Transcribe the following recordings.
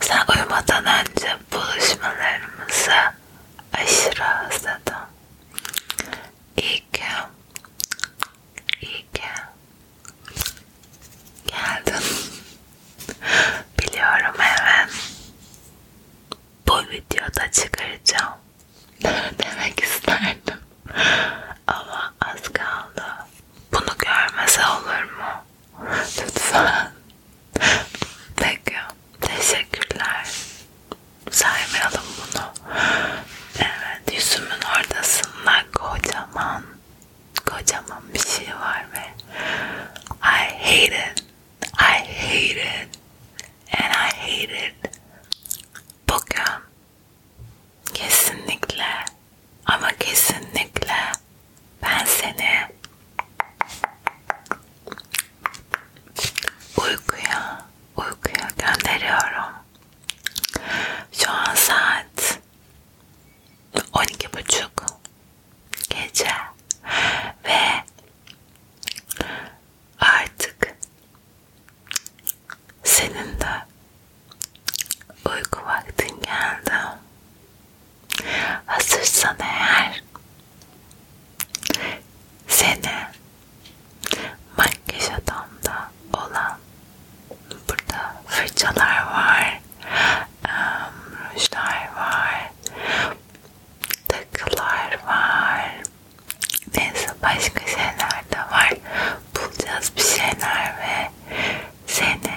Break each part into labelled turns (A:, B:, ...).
A: Sen uyumadan önce buluşmalarımıza aşırı özledim. İyi ki, iyi ki geldin. Biliyorum hemen bu videoda çıkaracağım. Demek isterdim. Ama az kaldı. Bunu görmese olur mu? Lütfen. Peki. Teşekkürler. Saymayalım bunu. Evet. Yüzümün ortasında kocaman kocaman bir şey var ve I hate it. I hate it. And I hate it. Bugün kesinlikle ama kesinlikle ben seni uykuya, uykuya gönderiyorum. Şu an saat 12 buçuk gece ve artık senin de Uyku vaktin geldi. Hazırsan eğer seni makyaj adamda olan burada fırçalar var, rujlar var, takılar var, neyse başka şeyler de var. Bulacağız bir şeyler ve seni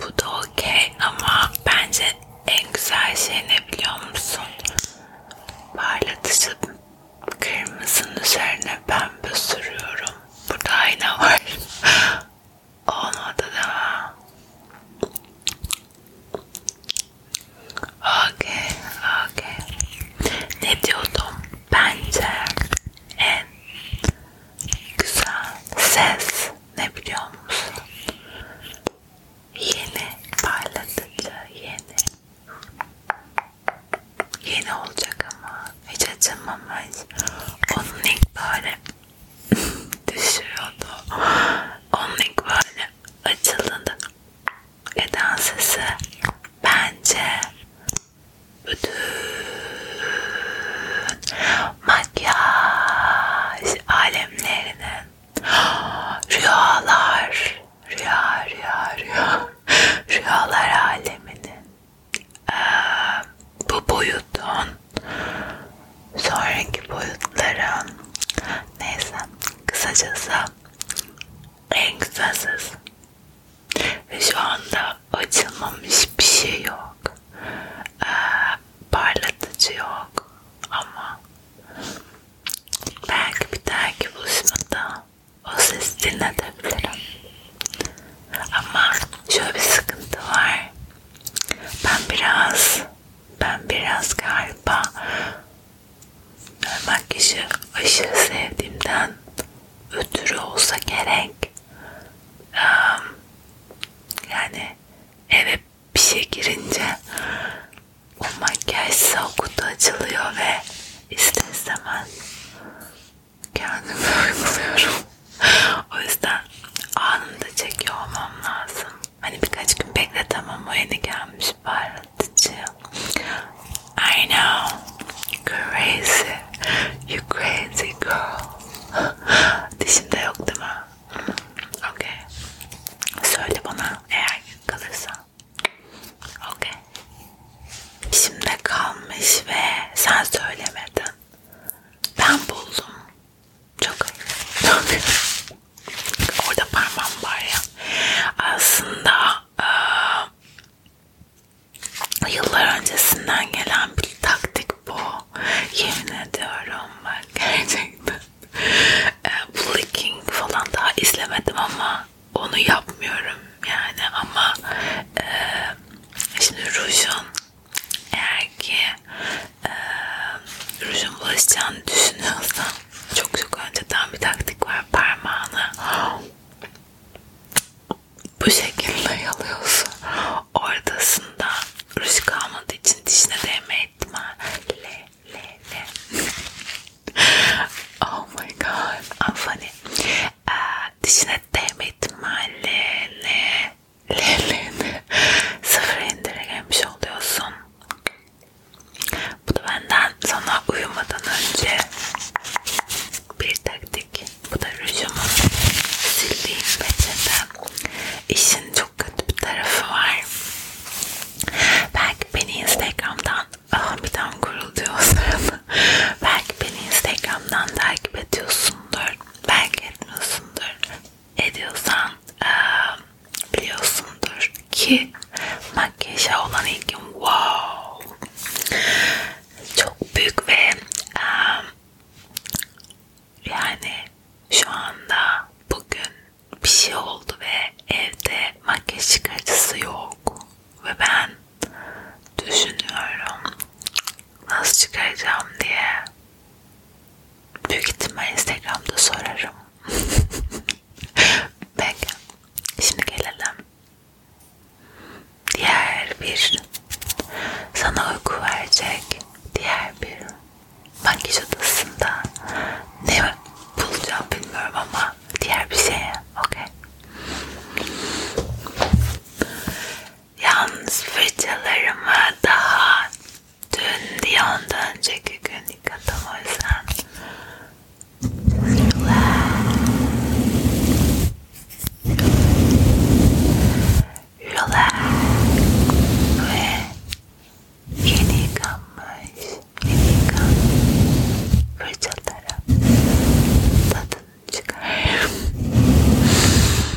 A: Bu da okey ama bence en güzel şey ne biliyor musun? Parlatıcı kırmızının üzerine pembe sürüyorum. Burada ayna var. Olmadı da. Okay, okay. Ne diyordum? Bence en güzel ses ne biliyor musun? Yeni parlatıcı, yeni. Yeni olacak ama hiç acımamış. Onun ilk böyle düşüyordu. Onun ilk böyle açıldığında eden sesi bence bütün makyaj alemlerinin rüyalar rüya rüya rüya rüyalar aleminin ee, bu boyutun sonraki boyutlara neyse kısacası en kısasız ve şu anda açılmamış bir şey yok ee, parlatıcı yok ama belki bir dahaki buluşmada o sesi dinletebilirim ama şöyle bir sıkıntı var ben biraz ben biraz galiba makyajı aşırı sevdiğimden ötürü olsa gerek yani eve bir şey girince o makyaj size o kutu açılıyor ve ister istemez kendimi uyguluyorum o yüzden anında çekiyor olmam lazım. Hani birkaç gün bekletemem o yeni gelmiş parlatıcı. I know. Crazy. You crazy girl. Dişimde yok değil mi? Okay. Söyle bana eğer kalırsa. Okay. Dişimde kalmış ve sen söylemedin. Ben buldum. Çok Orada parmağım var ya. Aslında e, yıllar öncesinden gelen bir taktik bu. Yemin ediyorum bak gerçekten. E, blinking falan daha izlemedim ama onu yapmıyorum yani ama e, şimdi rujun eğer ki e, rujun bulaşacağını düşünüyorsan çok çok önceden bir taktik var parmağını bu şekilde yalıyorsun ortasında ruj kalmadığı için dişine değme ihtimali le le oh my god I'm funny ee, dişine değme ihtimalini Leleğini sıfır indire gelmiş oluyorsun. Bu da benden sana uyumadan önce bir taktik. Bu da rujumun sildiğim peçete. İşin çok kötü bir tarafı var. Belki beni Instagram'dan ah bir tam kuruldu o sırada. Belki beni Instagram'dan takip ediyorsundur. Belki etmiyorsundur ediyorsan e, biliyorsundur ki makyaja olan ilgim wow çok büyük ve e, yani şu anda bugün bir şey oldu ve evde makyaj çıkartıcısı yok ve ben düşünüyorum nasıl çıkaracağım diye büyük ihtimal Instagram'da sorarım. Peki. Şimdi gelelim. Diğer bir sana uyku verecek diğer bir makyaj odasında ne bulacağım bilmiyorum ama diğer bir şeye. Okey. Yalnız fırçalarımı daha dün diye ondan önceki gün yıkadım o yüzden. Relax. Ve yeni yıkanmış, yeni yıkanmış fırçalara tadını çıkarıyorum.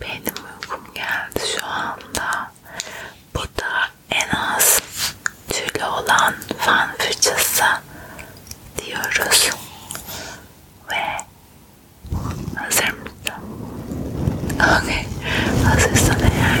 A: Benim uykum geldi şu anda. Bu da en az tüylü olan fan fırçası diyoruz. Ve hazır mısın? Okay. Hazırsan eğer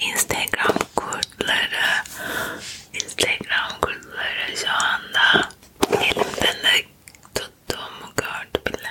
A: Instagram kurtları Instagram kurtları şu anda elimden de tuttuğumu gördü bile.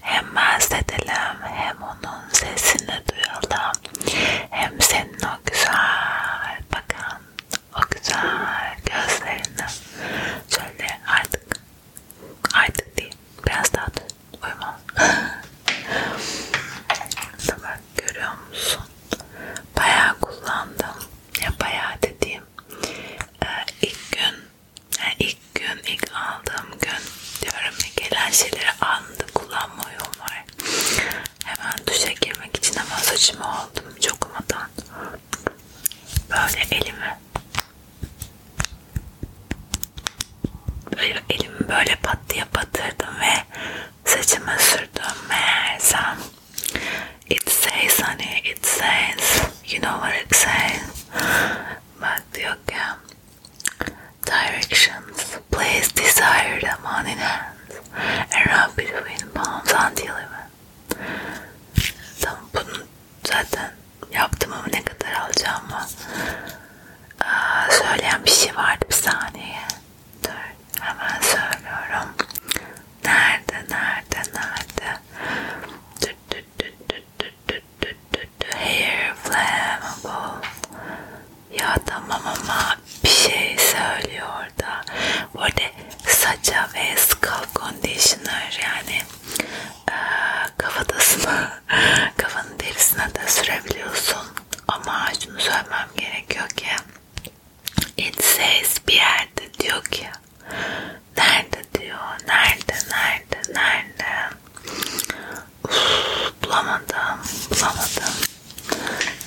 A: Hem bahsedelim hem onun sesini duyalım. Hem senin o güzel bakan o güzel gözlerini şöyle artık artık değil biraz daha uyuma. Bak görüyor musun? Bayağı kullandım. Ya bayağı dediğim e, ilk gün yani ilk gün, ilk aldığım gün diyorum ya gelen şeyleri anında kullanma uyum var. Hemen duşa girmek için hemen saçımı aldım çokumadan. Böyle elimi böyle elimi böyle pat diye batırdım ve saçıma sürdüm meğersem It says on it, it says, you know what it says? Madhyaka. Directions. Place desire them on in hands and rub between palms until even. Tamam bunu zaten yaptım ama ne kadar alacağımı Aa, söyleyen bir şey vardı bir saniye. Dur hemen söylüyorum. Nerede nerede nerede? Dur Hair flammable. Ya tamam ama bir şey söylüyor orada. Bu arada saça ve scalp conditioner yani e, kafatasına, kafanın derisine de sürebiliyorsun. Ama şunu söylemem gerekiyor ki it says bir yerde diyor ki Nerede diyor. Nerede? Nerede? Nerede? Uf, bulamadım. Bulamadım.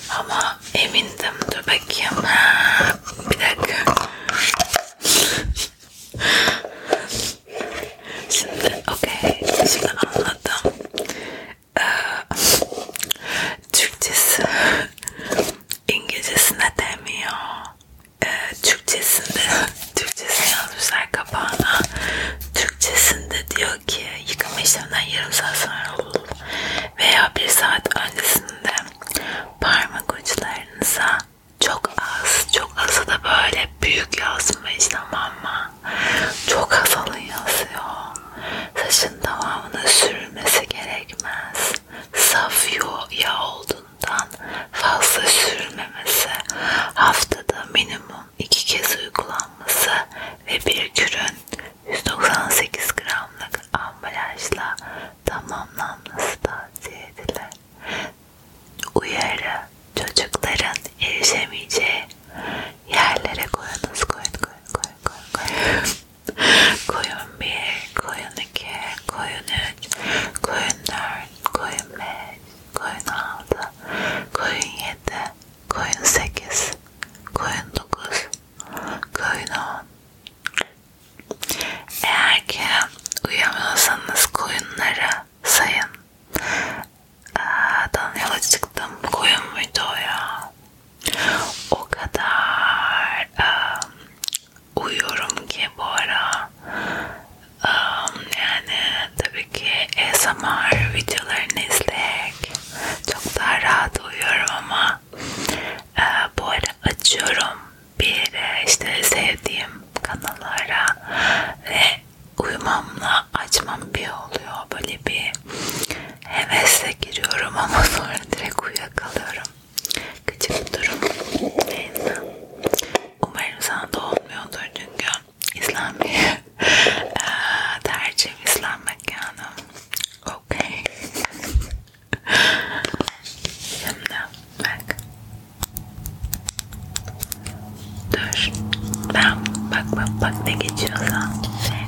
A: Ama emindim. Dur bakayım. Ha, bir dakika. Şimdi okey. Şimdi anladım. Ee, Türkçesi İngilizcesine demiyor. e, Türkçesinde Türkçesini yazmışlar kapağına Türkçesinde diyor ki yıkama işleminden yarım saat sonra olur veya bir saat öncesinde parmak uçlarınıza çok az çok azı da böyle büyük yazmış tamam mı? Çok az alın yazıyor. Saçın tamamına sürülmesi gerekmez saf yağ olduğundan fazla sürülmemesi, haftada minimum iki kez uygulanması ve bir kürün 198 gramlık ambalajla tamamlanması tavsiye edilir. Uyarı çocukların erişemeyeceği yerlere koyunuz koyun koyun koyun koyun koyun koyun bir, koyun iki, koyun üç, koyun dört, koyun beş, koyun altı, koyun yedi, koyun sekiz, koyun dokuz, koyun on. Eğer ki uyuyamıyorsanız koyunları sayın. Dan yola çıktım. Koyun muydu o ya? O kadar ıı, uyuyorum ki bu ara um, yani tabii ki ASMR videolarını izleyerek çok daha rahat uyuyorum ama e, bu ara açıyorum bir işte sevdiğim kanallara ve uyumamla açmam bir oluyor böyle bir hevesle giriyorum ama sonra direkt uyuyakalıyorum Küçük bir durum yayında. Umarım sana da olmuyordur çünkü İslenmeyi tercihim İslenmek yani. Okey. Şimdi bak. Dur. Ben bak bak bak ne geçiyorsa şeyse.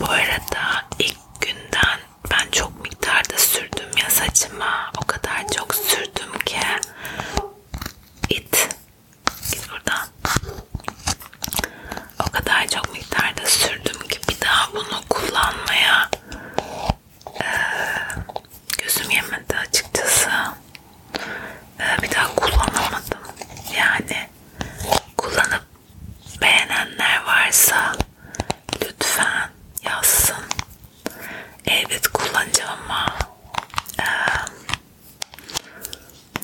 A: Bu arada ilk günden ben çok miktarda sürdüm ya saçıma. O kadar çok sürdüm ki. It. Git buradan. O kadar çok miktarda sürdüm ki bir daha bunu kullanmaya e, gözüm yemedi açıkçası. E, bir daha kullanamadım. Yani kullanıp beğenenler varsa lütfen yazsın. Evet kullanacağım ama e,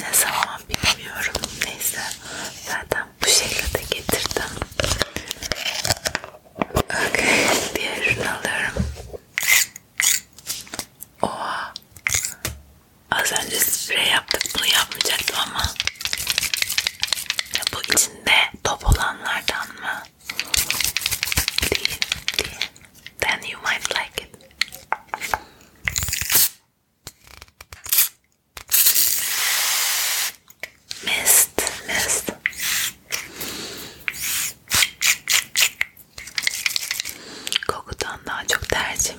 A: ne zaman bilmiyorum. Neyse zaten bu şekilde getirdim. Okay, diğer ürünü alıyorum. Oha Az önce sprey yaptık bunu yapmayacaktım ama bu içinde top olanlardan mı? Değil, değil. Then you might like it. Mist, mist. Kokudan daha çok tercih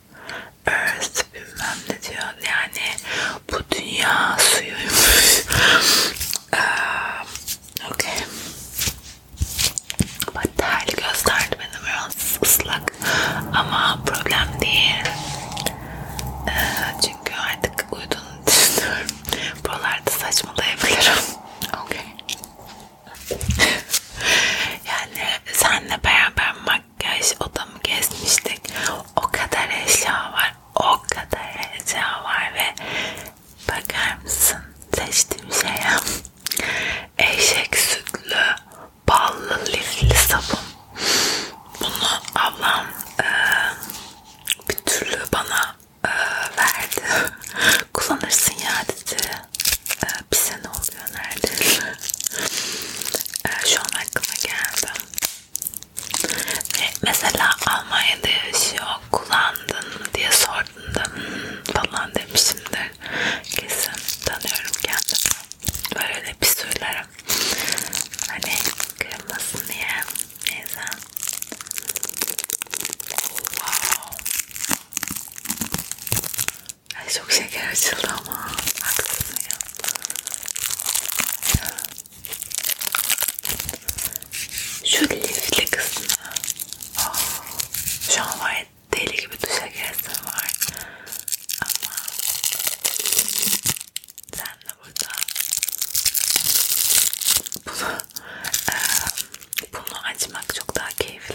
A: Earth bilmem ne diyor. Yani bu dünya suyuymuş. um, okay. But terli gösterdi benim biraz ıslak. Ama problem değil. Uh, çünkü artık uyuduğunu düşünüyorum. Buralarda saçmalayabilirim. Okay. yani senle beraber göz odamı gezmiştik. O kadar eşya var. O kadar eşya var ve bakar mısın seçtiğim şeye eşek sütlü ballı lifli sabun. Bunu ablam e, bir türlü bana e, verdi. Kullanırsın ya dedi. E, bir sene oldu oluyor neredeyse. Ee, şu an aklıma geldi. Ve mesela Almanya'da yaşıyor, kullandın mı diye sordun da hmm, falan demişimdir. Kesin tanıyorum kendimi. Böyle bir söylerim. Hani kırılmasın diye. Neyse. Wow. Ay çok şeker açıldı ama. Haksız mıyım? Şu lifli kısmı. Oh. Şu an var ya deli gibi duşa giresim var. Ama sen de burada bunu, e, bunu açmak çok daha keyifli.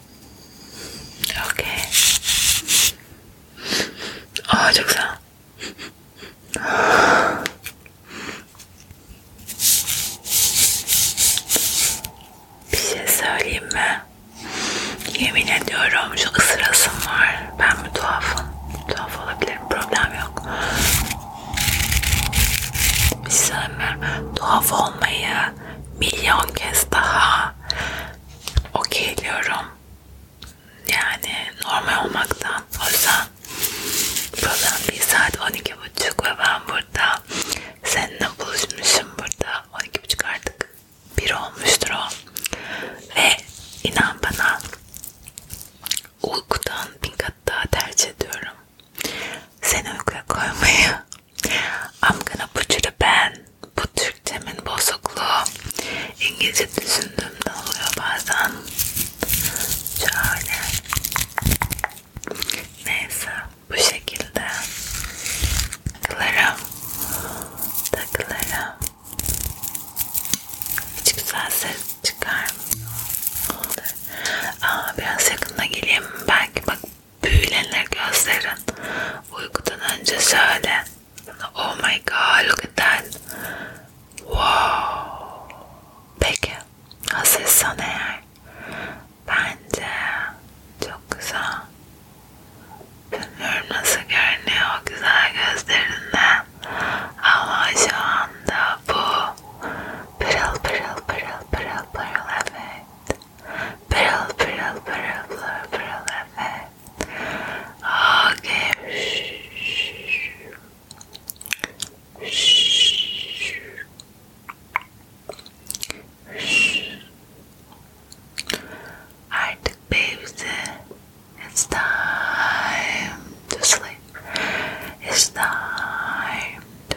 A: Okey. Aa çok güzel. Bir şey söyleyeyim mi? Yemin ediyorum şu ısırasım var. Ben mi tuhafım? Tuhaf olabilirim. Problem yok. Bir şey söyleyeyim mi? Tuhaf olmayı milyon kez daha okey diyorum. Yani normal olmaktan. O yüzden program bir saat 12.30 ve ben burada seninle buluşmuşum burada. 12.30 artık bir olmuştur o. Ve inan bana uykudan bin kat daha tercih ediyorum. Seni uykuya koymayı I'm gonna put you to bed. Bu Türkçemin bozukluğu. İngilizce düşündüğümde oluyor bazen. Şöyle. Neyse. Bu şekilde. Takılarım. Takılarım. Hiç güzel ses çıkarmıyor. Aa, biraz yakında geleyim. Belki bak büyülenir gözlerin. Uykudan önce söyle. Oh my god look at that. Wow. Peki. Hazırsan eğer. Bence çok güzel. Bilmiyorum nasıl görünüyor o güzel gözlerinde. Ama şu anda bu pırıl pırıl pırıl pırıl pırıl evet. pırıl pırıl pırıl pırıl pırıl Efe. Okay. Artık babies, it's time to sleep. It's time to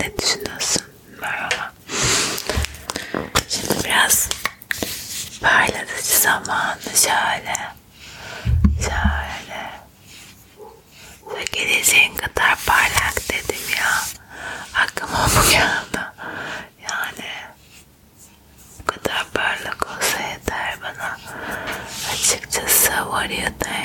A: Ne düşünüyorsun Merhaba? Şimdi biraz parlatıcı zamanı şöyle şöyle geleceğin kadar parlak dedim ya aklıma bu geldi yani bu kadar parlak olsa yeter bana açıkçası var ya da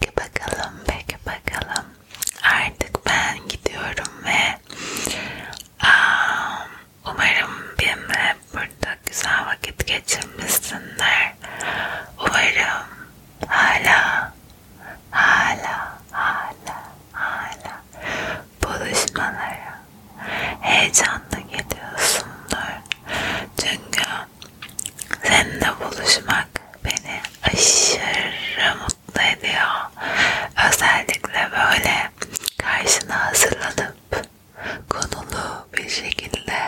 A: Peki bakalım, peki bakalım. Artık ben gidiyorum ve um, umarım benimle burada güzel vakit geçirmişsinler. Umarım hala, hala, hala, hala buluşmalara heyecanla geliyorsundur. Çünkü seninle buluşmak beni aşırı mutlu ediyor. Özellikle böyle karşına hazırlanıp konulu bir şekilde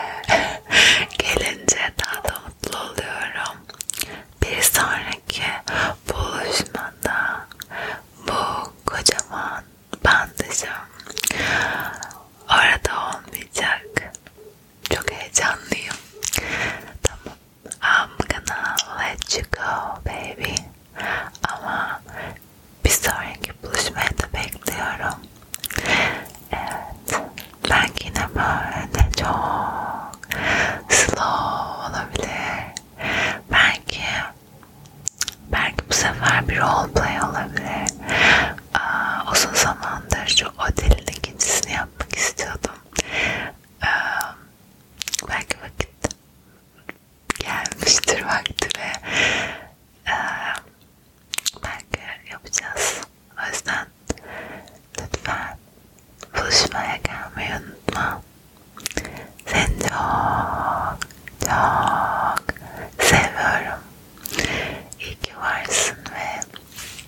A: gelince daha da mutlu oluyorum. Bir sonraki buluşmada bu kocaman bandajım orada olmayacak. Çok heyecanlıyım. Tamam. I'm gonna let you go baby. Ama bir sonraki buluşmayı da bekliyorum. Evet. Belki yine böyle çok slow olabilir. Belki belki bu sefer bir roleplay olabilir. Aa, uzun zamandır şu otelin ikincisini yapmak istiyordum yaptım. Ee, belki vakit gelmiştir vakti ve ee, belki yapacağız. O yüzden lütfen buluşmaya gelmeyi unutma. Seni çok çok seviyorum. İyi ki varsın ve